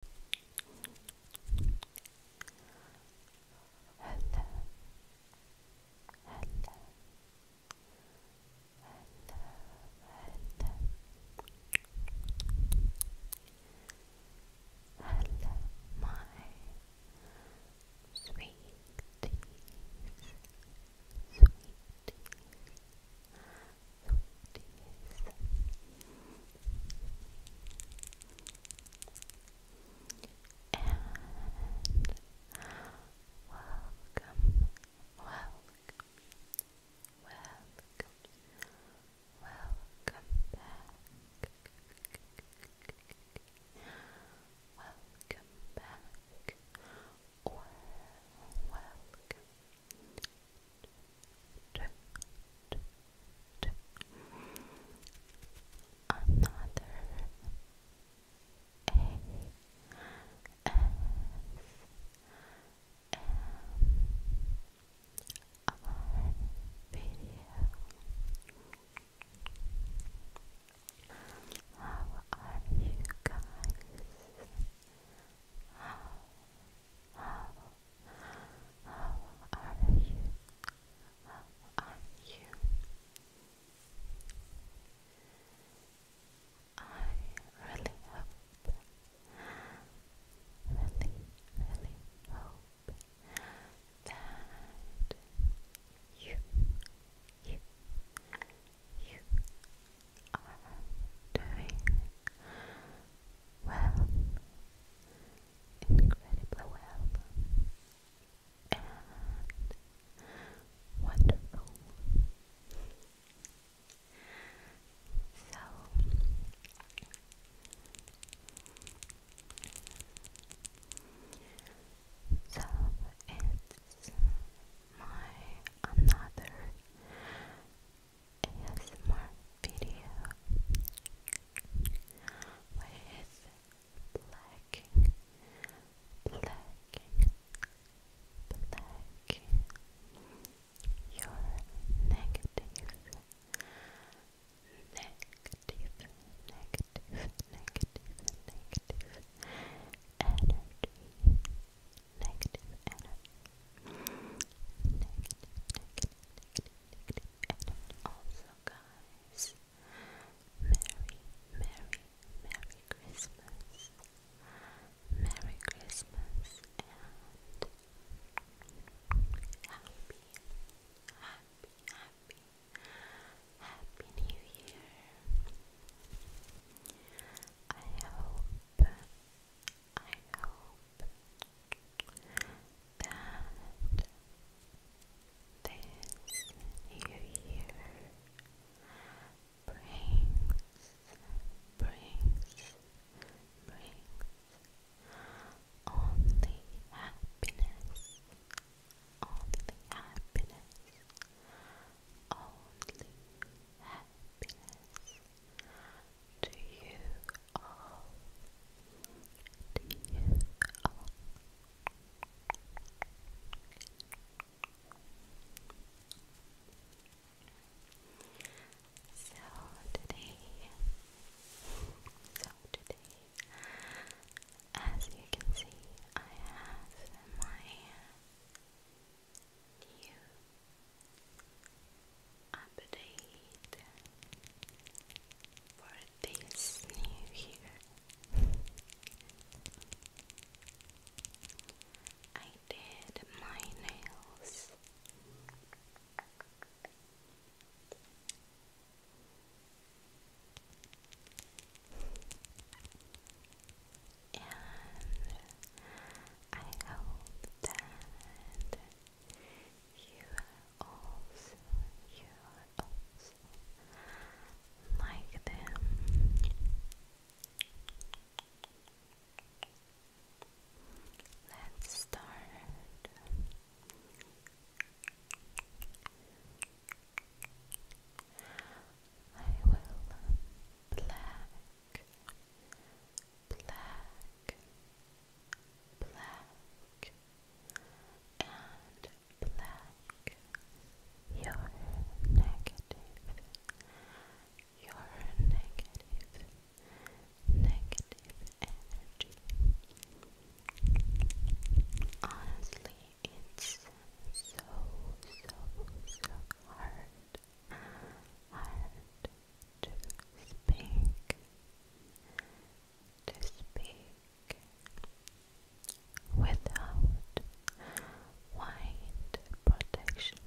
Hello. Hello. Hello. Hello. my sweeties, sweeties, and welcome, welcome, welcome, welcome back. Welcome back, welcome another A S M R video. How are you guys? How are you? How are you? I really hope, really, really hope that you, you, you are doing well, incredibly well, and wonderful. So, so it's my another ASMR video with blacking, blacking, blacking your negative, negative, negative, negative, negative energy negative Also, guys, Merry, Merry, Merry Christmas. Merry Christmas and happy, happy, happy, happy New Year. I hope I hope that this year brings, brings, brings only happiness, only happiness, only happiness to you all, to you all. So today, so today, as you can see, I have my new update for this new year. I did my nails and I hope that you also, you are also like them. Let's start. I will black black, black, and black. You're negative, you're negative, negative energy. Honestly, it's so, so, so hard hard to speak, to speak without wide protection.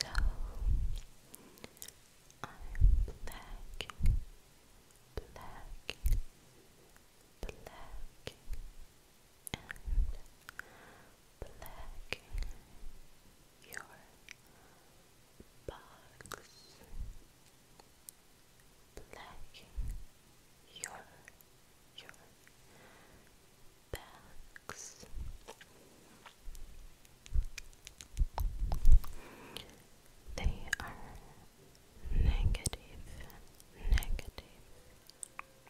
So I'm blacking, blacking, black and black your box black your your bags they are negative, negative, and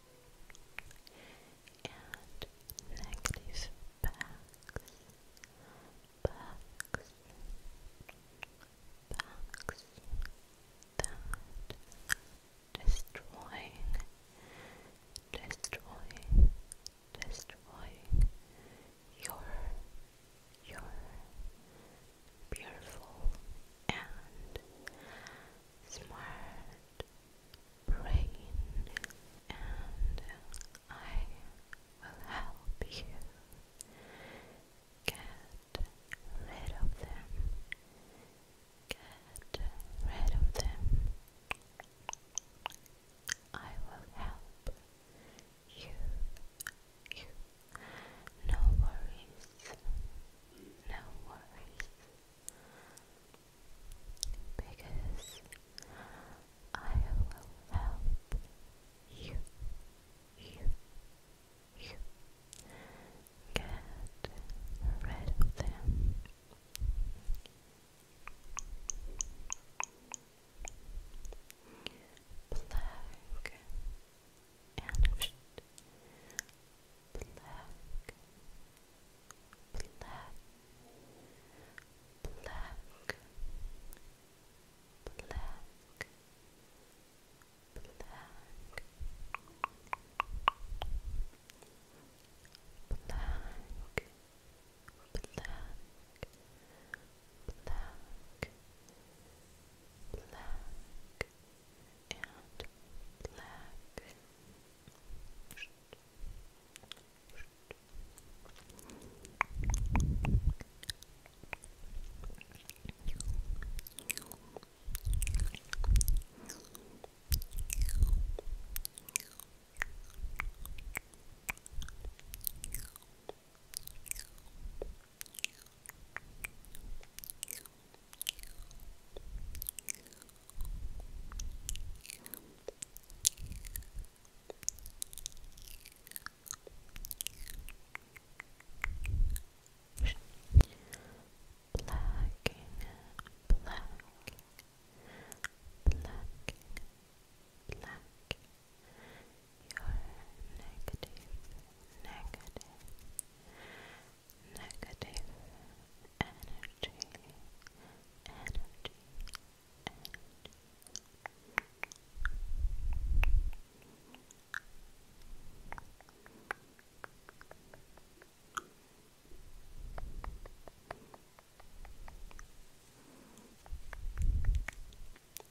negative backs, backs, backs that destroying, destroying, destroying your, your beautiful, and smart brain, and I will help you get rid of them. Get rid of them. I will help you no worries, no worries, because I will help you, you, you get rid of them. Black, vanished. Black, black, black, black, black, black, black, black, black, and black. Blacking, blacking, blacking, blacking, you're negative, negative, negative energy, energy, energy. You're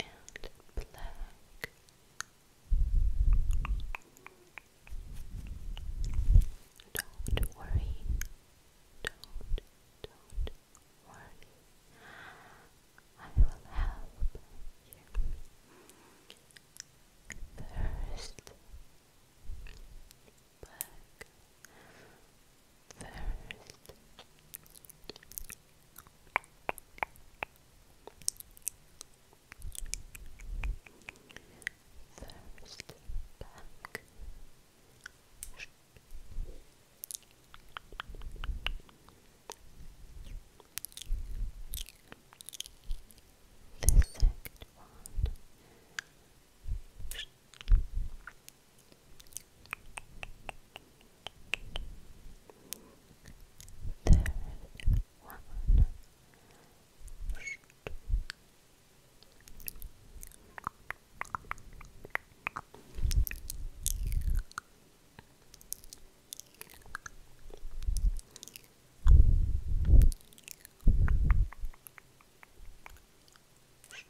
and black. Don't worry. Don't, don't worry. I will help you. First, back first. First back. The one. Third one. Shh.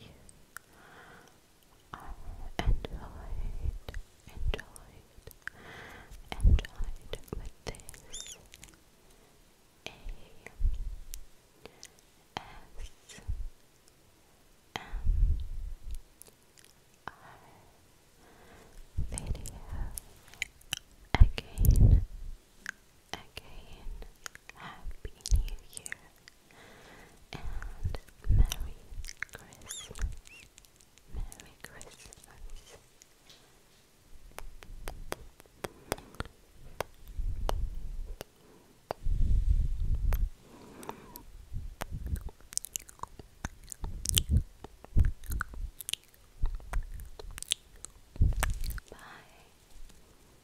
you enjoyed, enjoyed, enjoyed with this A S M R video again. Again, Happy New Year and Merry Christmas. Merry Christmas. Bye.